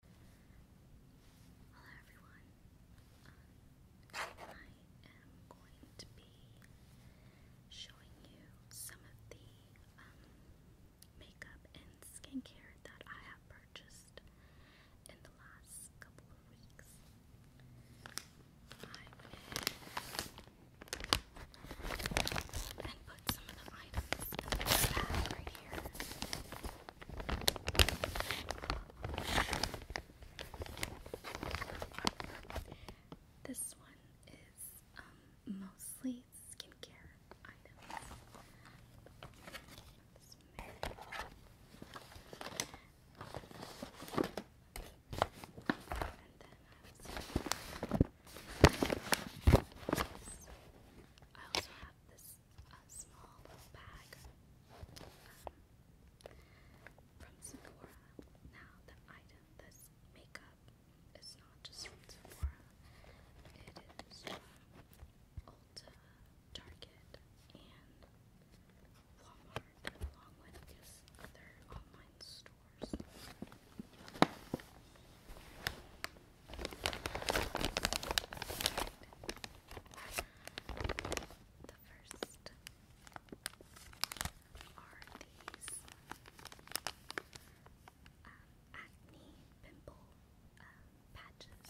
Hello everyone. I am going to be showing you some of the um, makeup and skincare that I have purchased in the last couple of weeks. I and put some of the items right here. This one is um, mostly skincare items. And then I also have this a small bag um, from Sephora. Now, the item, this makeup, is not just from Sephora, it is from Ulta, Target, and Walmart, along with his other online stores. The first are these acne um, pimple patches.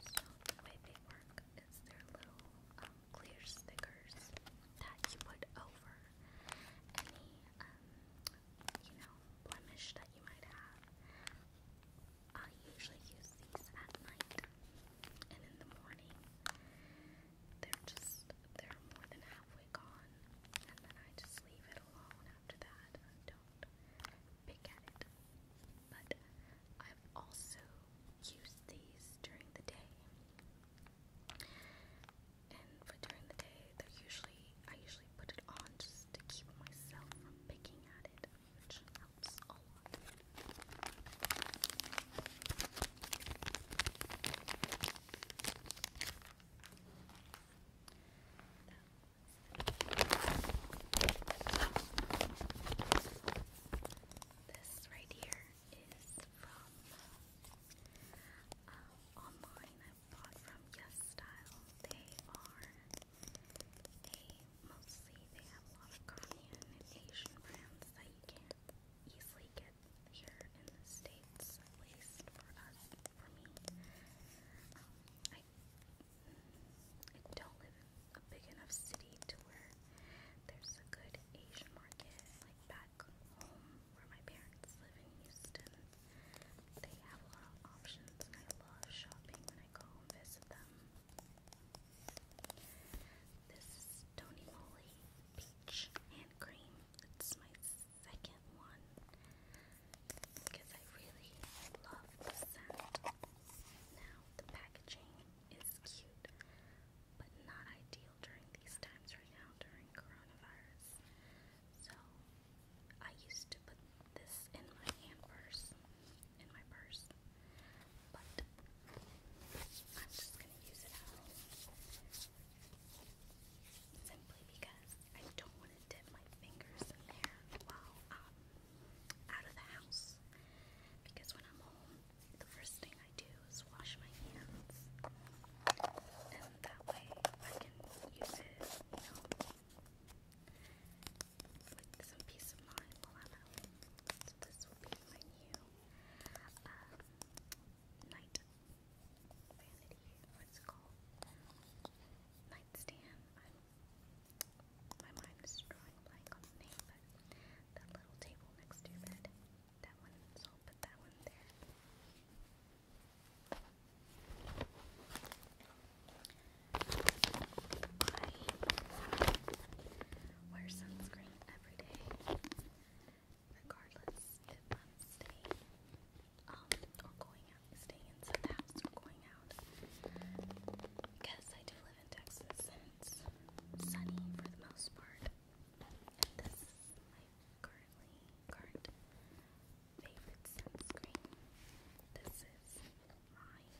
So the way they work is they're little um, clear stickers that you put over any um, you know blemish that you might have. I usually use these at night and in the morning. They're just, they're more than halfway gone. And then I just leave it alone after that. I don't pick at it. But I've also used these during the day. And for during the day, they're usually I usually put it on just to keep myself from picking at it, which helps a lot. This right here is from uh, online. I bought from Yes Style. They are they mostly they have a lot of Korean and Asian brands that you can't easily get here in the States, at least for us, for me. Um, I, I don't live in a big enough city to where there's a good Asian market, like back home where my parents live in Houston. They have a lot of options and I love shopping when I go visit them. This Tony Moly Peach Hand Cream. It's my second one because I really love the scent. Now, the packaging is cute, but not ideal during these times right now during coronavirus. So, I used to put this in my hand purse, in my purse, but I'm just gonna use it out simply because I don't want to dip my fingers in there while out of the house. Because when I'm home, the first thing I do is wash my hands, and that way I can use it, you know, like some peace of mind while I'm this will be my new um, night vanity, what's it called? Nightstand. my mind is drawing blank on the name, but that little table next to your bed, that one, so I'll put that one there. I wear sunscreen every day, regardless if I'm staying or going out, staying inside the house or going out. Because I do live in Texas and it's sunny for the most part. And this is my currently current favorite sunscreen. This is mine.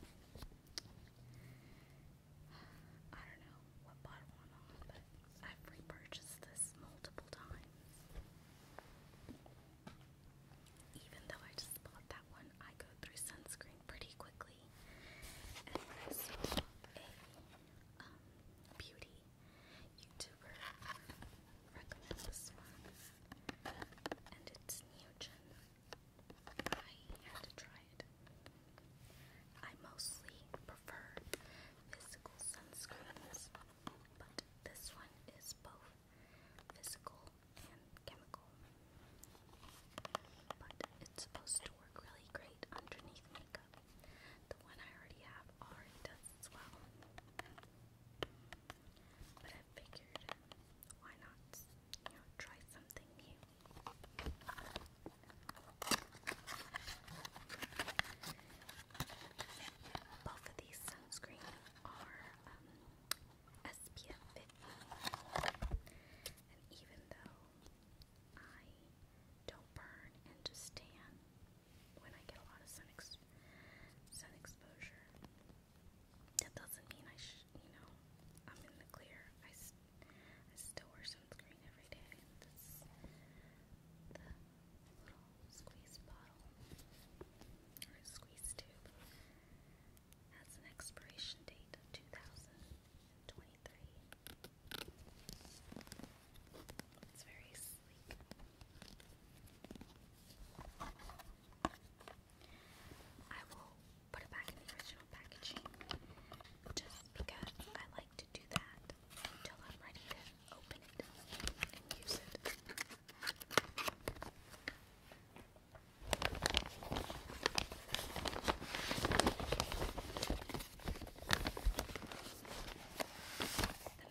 I don't know what bottle I'm on, but I've repurchased this multiple times. Even though I just bought that one, I go through sunscreen pretty quickly. And when I a um, beauty YouTuber recommend this one, and it's Neogen. I had to try it. I mostly prefer physical sunscreens, but this one is both physical and chemical. But it's supposed to work really great underneath makeup. The one I already have job already does as well. But I figured, why not, you know, try something new? Both of these sunscreen are um, SPF 50, and even though I don't burn and just tan when I get a lot of sun exposure. That doesn't mean I sh you know I'm in the clear. I, s I still wear sunscreen every day. That's the little squeeze bottle or squeeze tube has an expiration date of 2023. It's very sleek. I will put it back in the original packaging just because I like to do that until I'm ready to open it and use it. The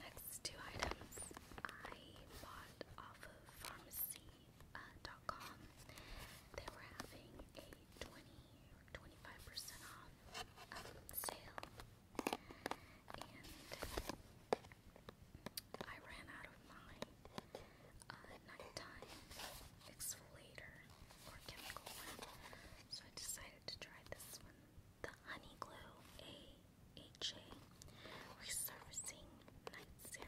next two items I bought off of pharmacy.com. they were having a 20 or 25% off um, sale, and I ran out of my uh, nighttime exfoliator or chemical so I decided to try this one the Honey Glow AHA Resurfacing Night Serum.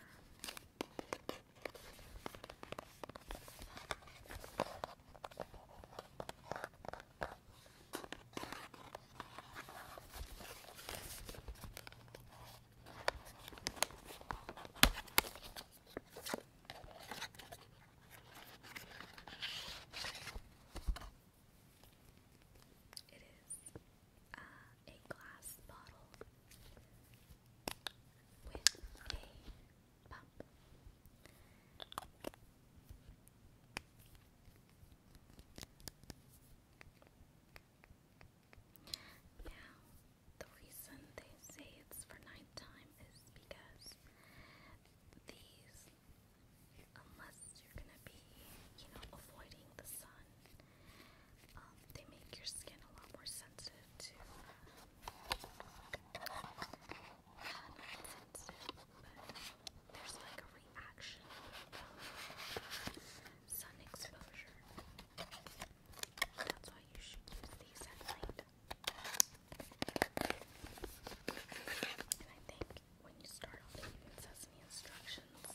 It is uh, a glass bottle with a pump. Now, the reason they say it's for nighttime is because these unless you're gonna be, you know, avoiding the sun. Um, they make your skin a lot more sensitive to. sensitive, uh, but there's like a reaction from sun exposure. That's why you should use these at night. I think when you start off, it says in the instructions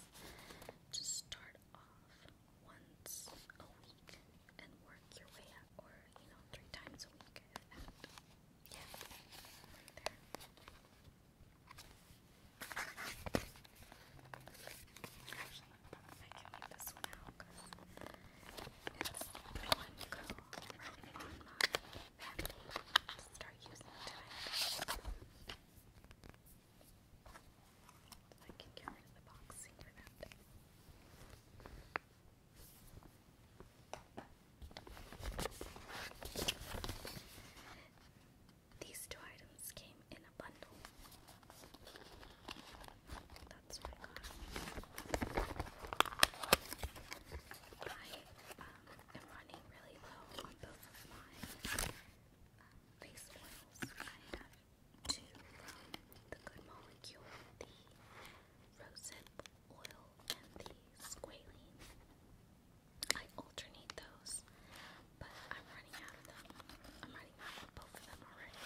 to start off once a week and work your way up, or you know, three times a week Yeah, right there. I can leave this one out because it's one go right on to start using tonight. I can get rid of the boxing for that. These two items came in a bundle. That's what I got. I um, I'm running really low on both of my face um, oils. I have two the Good Molecule, the Rosehip Oil and the Squalene. I alternate those, but I'm running out of them. I'm running out of both of them already.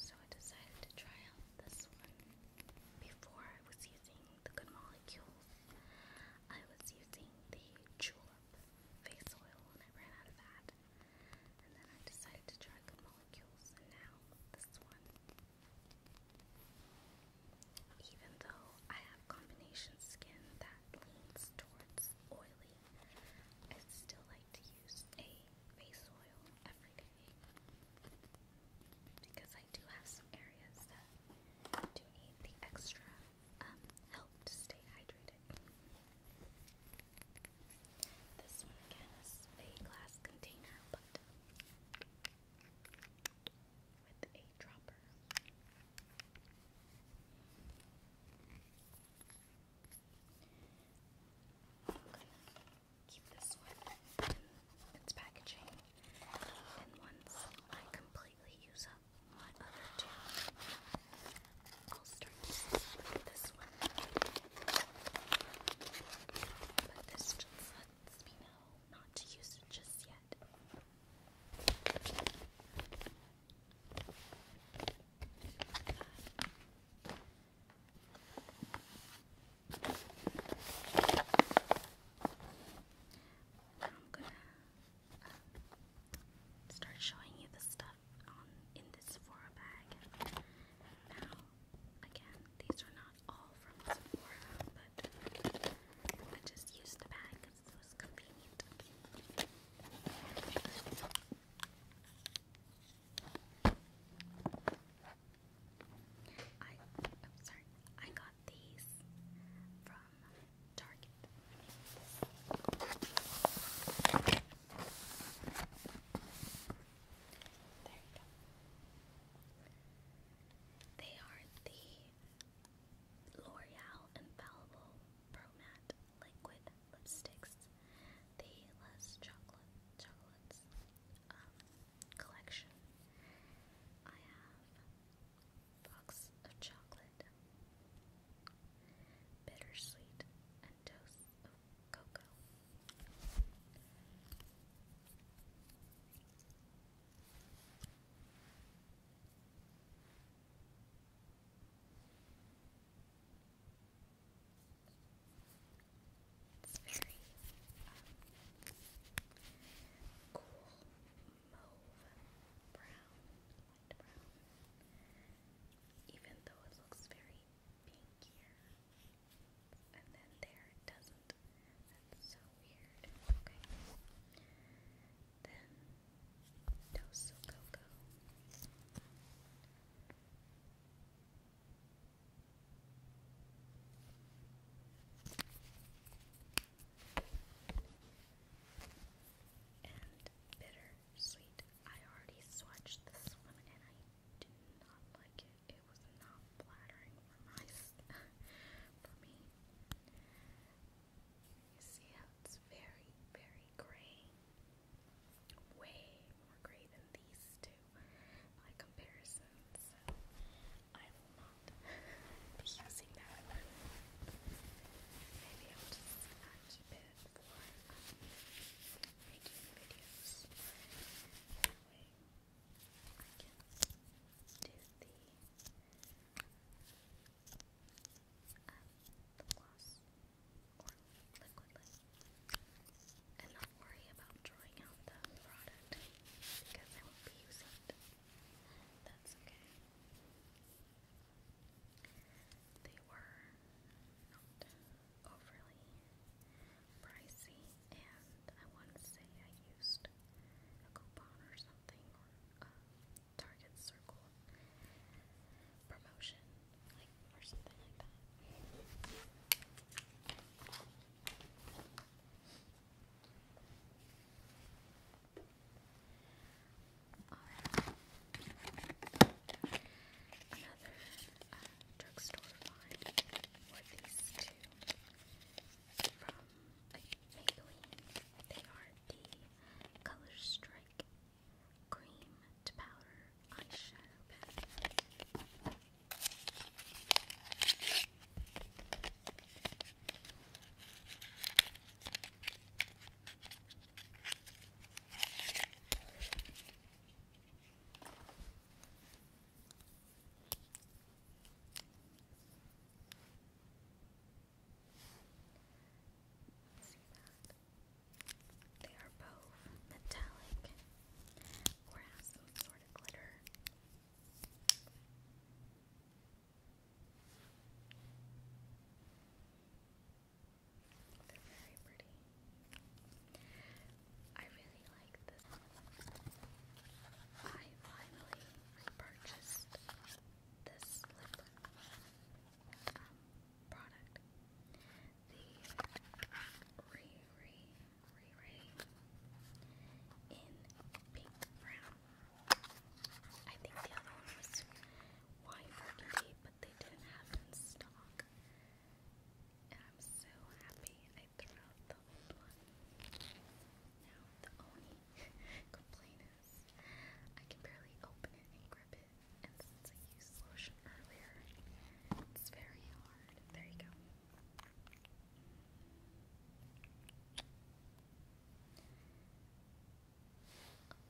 So I decided to try out this one. Before I was using the Good Molecules, I was using the Julep face oil and I ran out of that. And then I decided to try Good Molecules and now this one. Even though I have combination skin that leans towards oily, I still like to use a face oil every day because I do have some areas that do need the extra um, help to stay hydrated. This one again is a glass container, but with a dropper keep this one in its packaging. And once I completely use up my other two, I'll start with this one. But this just lets me know not to use it just yet. I'm gonna start showing you the stuff in this Sephora bag. Now, again, these are not all from Sephora, but I just used the bag because it was convenient. I I'm sorry. I got these from Target. There you go. They are the L'Oreal Infallible Pro Matte Liquid Lipsticks. The less chocolate chocolates. Um, collection. I have a box of chocolate, bittersweet, and toast of cocoa. I it's very um, cool mauve brown, light brown, even though it looks very pink And then there it doesn't. That's so weird. Okay. Then Dos Coco. And bitter sweet. I already swatched this one and I do not like it. It was not flattering for my for me. You see how it's very, very gray. Way more gray than these two my comparisons, I will not be using that. Maybe I'll just add bit for um, making videos. That way I can do the um, gloss or liquid and not worry about drawing out the product because I will be using it. That's okay. They were not overly pricey, and I want to say I used a coupon or something or a Target Circle promotion, like or something like that. Right. Another drugstore find these two from Maybelline. They are the Color Strike Cream to Powder Eyeshadow Pen. See that? They are both metallic or has some sort of glitter. They're very pretty. I really like this. I finally purchased this lip um, product. The Re Ray Ray in pink brown. I think the other one was wine burgundy, but they didn't have it in stock. And I'm so happy I threw out the old one. Now the only complaint is I can barely open it and grip it. And since I used lotion earlier, it's very hard. There you go.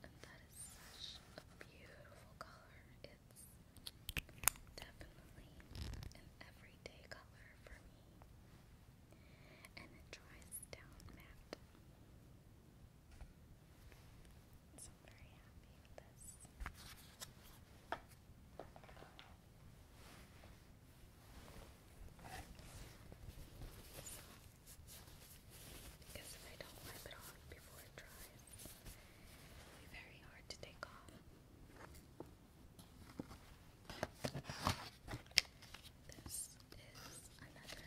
And that is such a beautiful color. It's definitely an everyday color for me. And it dries down matte. So i very happy with this. because if I don't wipe it off before it dries, it'll be very hard to take off. This is another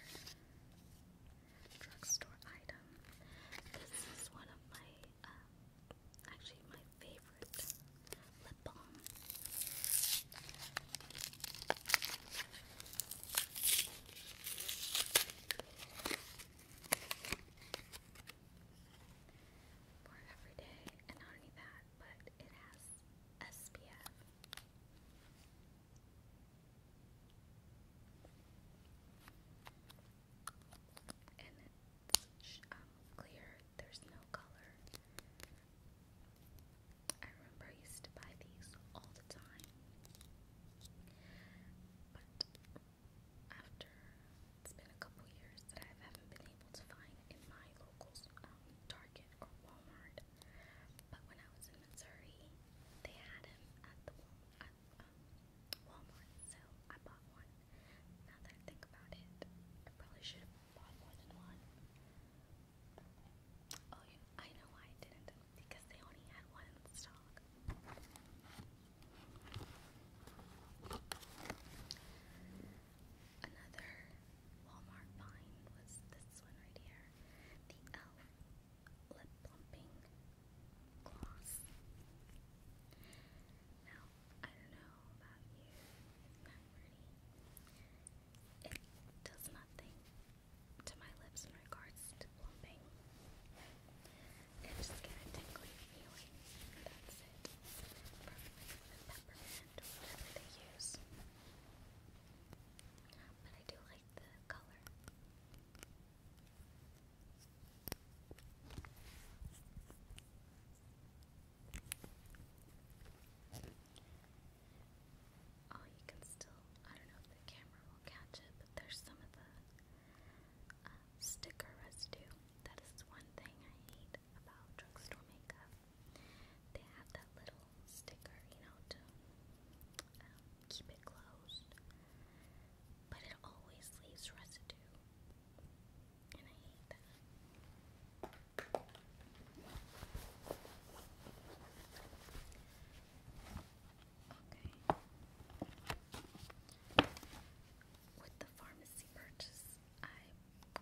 drugstore item. This is one of my um, actually my favorite lip balm. For every day, and not that, but it has SPF and it's um, clear, there's no color. I remember I used to buy these all the time, but after it's been a couple years that I haven't been able to find in my local um, Target or Walmart. But when I was in Missouri, they had them at the at um, Walmart, so I bought one. Now that I think about it, I probably should have bought more than one. Oh I know why I didn't, because they only had one in stock. Another Walmart find was this one right here, the Elf Lip Plumping gloss. Now, I don't know about you, Matt It does nothing to my lips in regards to plumping. It just gets a tingly feeling, that's it. Perfectly peppermint whatever they use. But I do like the color. Oh, you can still, I don't know if the camera will catch it, but there's some of the um, sticker residue. That is one thing I hate about drugstore makeup. They have that little sticker, you know, um, keep it closed, but it always leaves residue, and I hate that. Okay. With the pharmacy purchase, I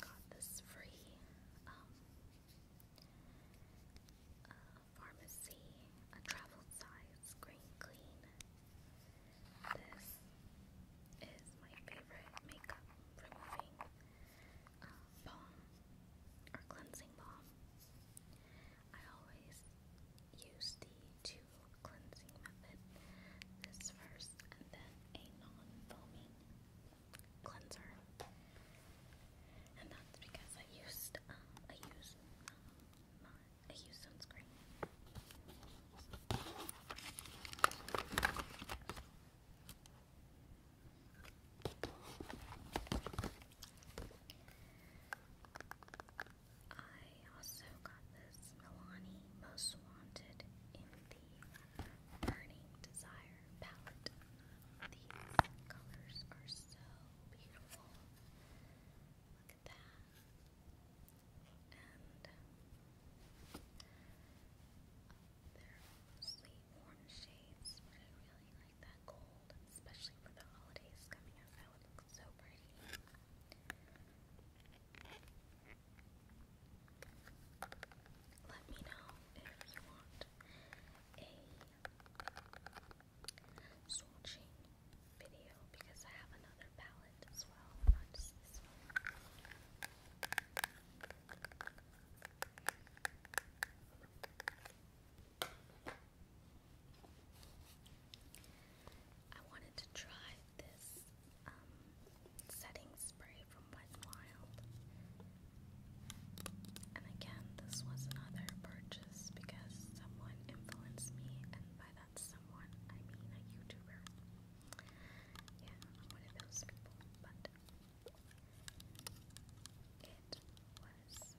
got this free um, pharmacy, a travel size screen clean. This is my favorite makeup removing uh, balm or cleansing balm. I always use the two cleansing method. This first and then a non-foaming cleanser. And that's because I used uh, I use um, I use sunscreen. I also got this Milani Most Wanted in the Burning Desire palette. These colors are so beautiful. Look at that and they're mostly warm um, shades, but I really like that gold, especially for the holidays coming up. That would look so pretty. Let me know if you want a soul chain video because I have another palette as well, not just this one. I wanted to try this um, setting spray from Wet n Wild. And again, this was another purchase because someone influenced me and by that someone, I mean a YouTuber. Yeah, one of those people, but it was,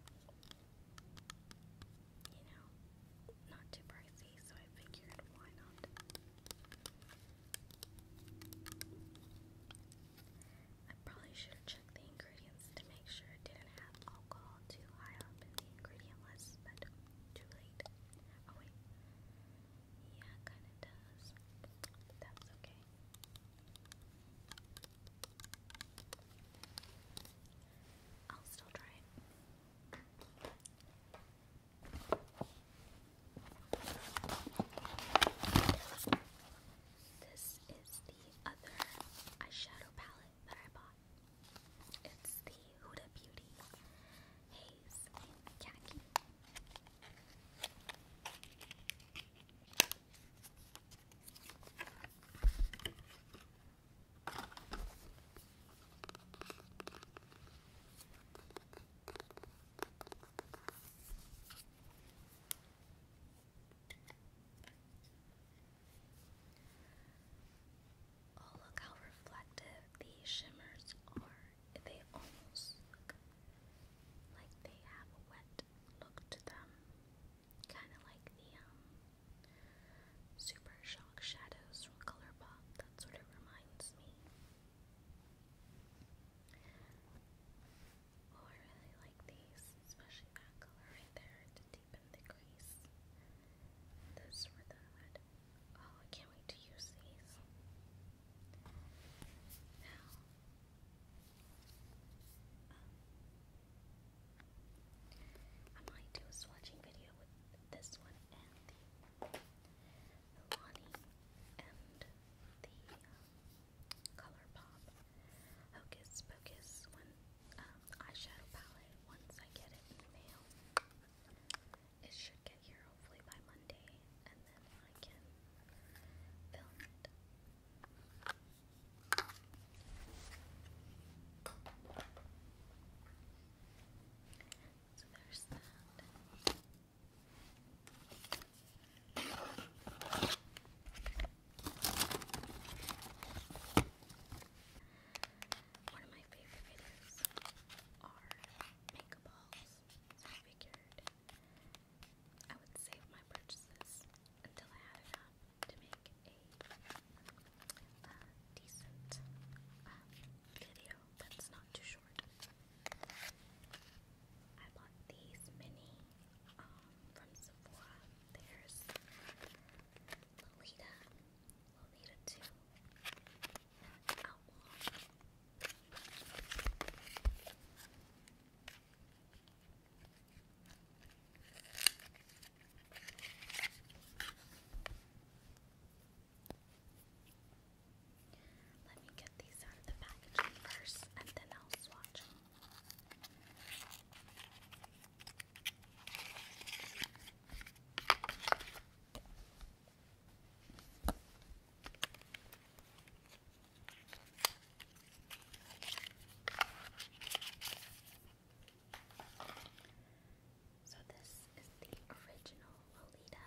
you know, not too pricey, so I figured why not. I probably should have checked the ingredients to make sure it didn't have alcohol too high up in the ingredient list, but too late. Oh wait. Yeah, it kinda does. That's okay. I'll still try it. This is the other eyeshadow palette that I bought. It's the Huda Beauty Haze Khaki. Oh, look how reflective these shimmers are. They almost look like they have a wet look to them. Kind of like the um, Super Shock Shadows from Colourpop. That's what it reminds me. Oh, I really like these, especially that color right there deepen the crease. This or that. Oh, I can't wait to use these. Now, um, I might do a swatching video with this one and the Milani and the um, ColourPop Hocus Pocus one um, eyeshadow palette once I get it in It should get here hopefully by Monday, and then I can film it. So there's that. One of my favorite videos are makeup hauls, I figured I would save my purchases until I had enough to make a uh, decent um, video that's not too short. I bought these mini um, from Sephora. There's Lolita, Let me get these out of the packaging first and then I'll swatch so, this is the original Lolita.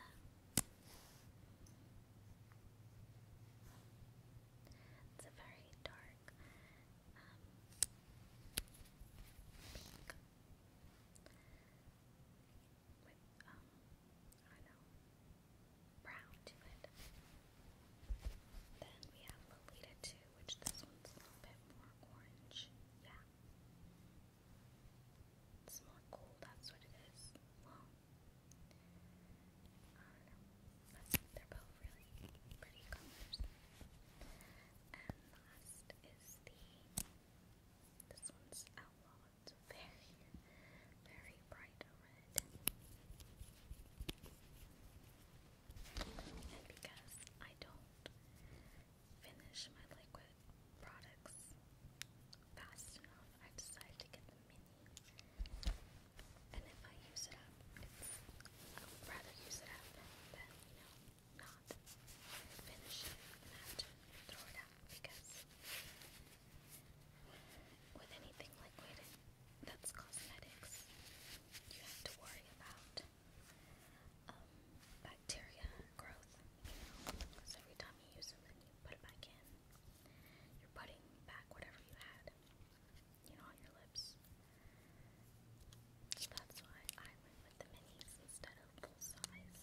It's a very dark um, pink with, um, I know, brown to it. Then we have Lolita 2, which this one's a little bit more orange. Yeah. It's more cool, that's what it is but they're both really pretty colors. And last is the this one's outlaw. very, very bright red. And because I don't finish my liquid products fast enough, I decided to get the mini and if I use it up, I would rather use it up than, you know, not finish it and have to throw it out because with anything liquid that's cosmetics, you have to worry about bacteria growth, you know, because every time you use them and you put it back in, you're putting back whatever you had you know, on your lips. So that's why I went with the minis instead of full size.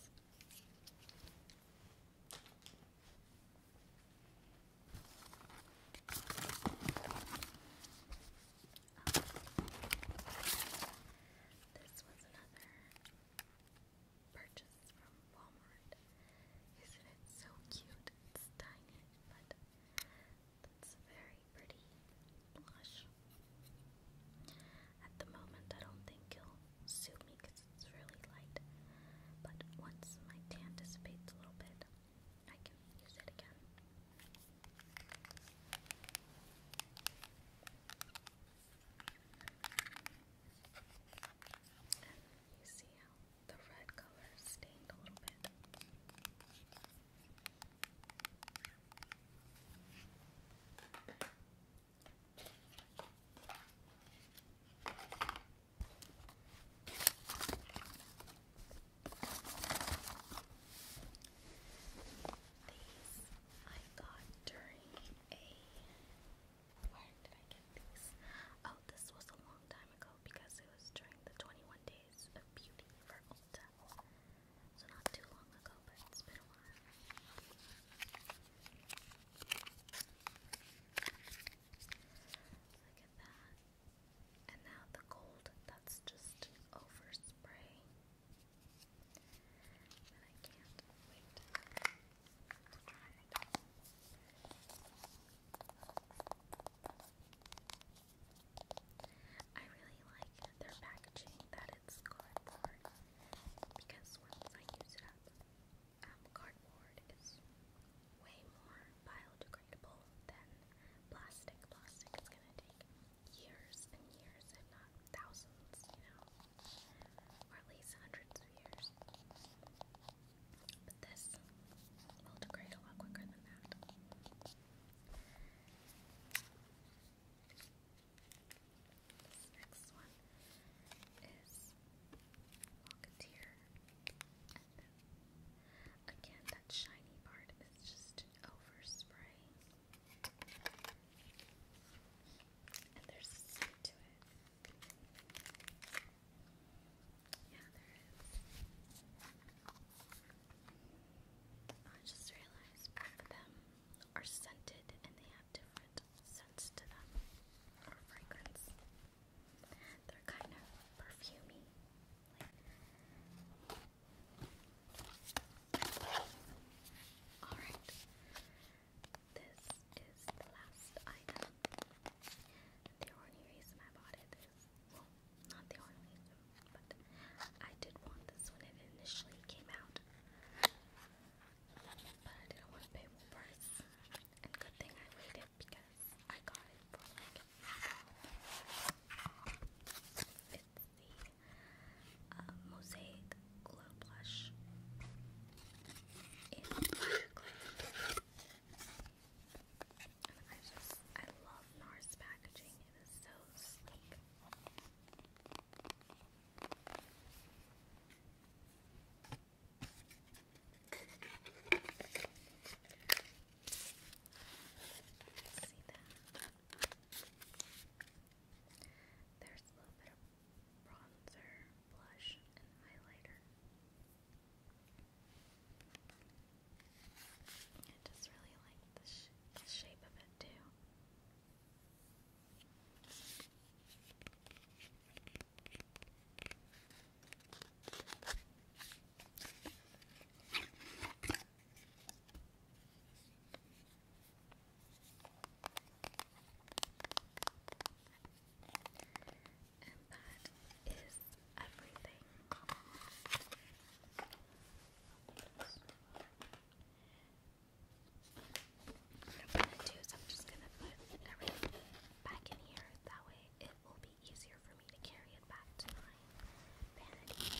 this was another purchase from Walmart. Isn't it so cute? It's tiny, but that's a very pretty blush. At the moment, I don't think it'll suit me because it's really light. But once my tan dissipates a little bit, I can use it again. And you see how the red color stained a little bit. These I got during a. Where did I get these? Oh, this was a long time ago because it was during the 21 day Days Beauty for Ulta. So not too long ago, but it's been a while. Look at that. And now the gold, that's just overspray. And I can't wait to try it. I really like their packaging that it's cardboard because once I use it up, um, cardboard is way more biodegradable than plastic. Plastic is gonna take years and years, if not thousands, you know, or at least hundreds of years but this will degrade a lot quicker than that. This next one is Rocketeer. again, that shiny part is just overspray. And there's a scent to it. Yeah, there is. I just realized both of them are scented and they have different scents to them or fragrance. They're kind of perfumey. Alright, this is the last item the only reason I bought it is, well, not the only reason, but I did want this when it initially came out. But I didn't want to pay full price, and good thing I waited because I got it for like It's the uh, Mosaic Glow Blush and I just, I love NARS packaging. It is so sleek. See that? There's a little bit of bronzer, blush, and highlighter. I just really like the, sh the shape of it too. And that is everything. What I'm gonna do is I'm just gonna put everything back in here. That way it will be easier for me to carry it back to my vanity.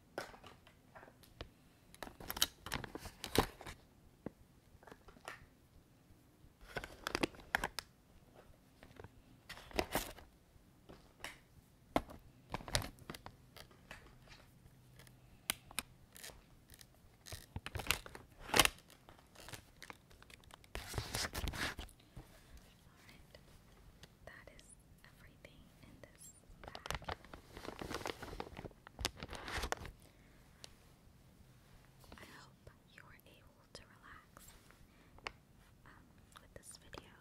All right. That is everything in this I hope you were able to relax um, with this video.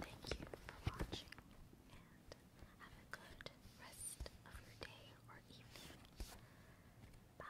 Thank you for watching and have a good rest of your day or evening. Bye.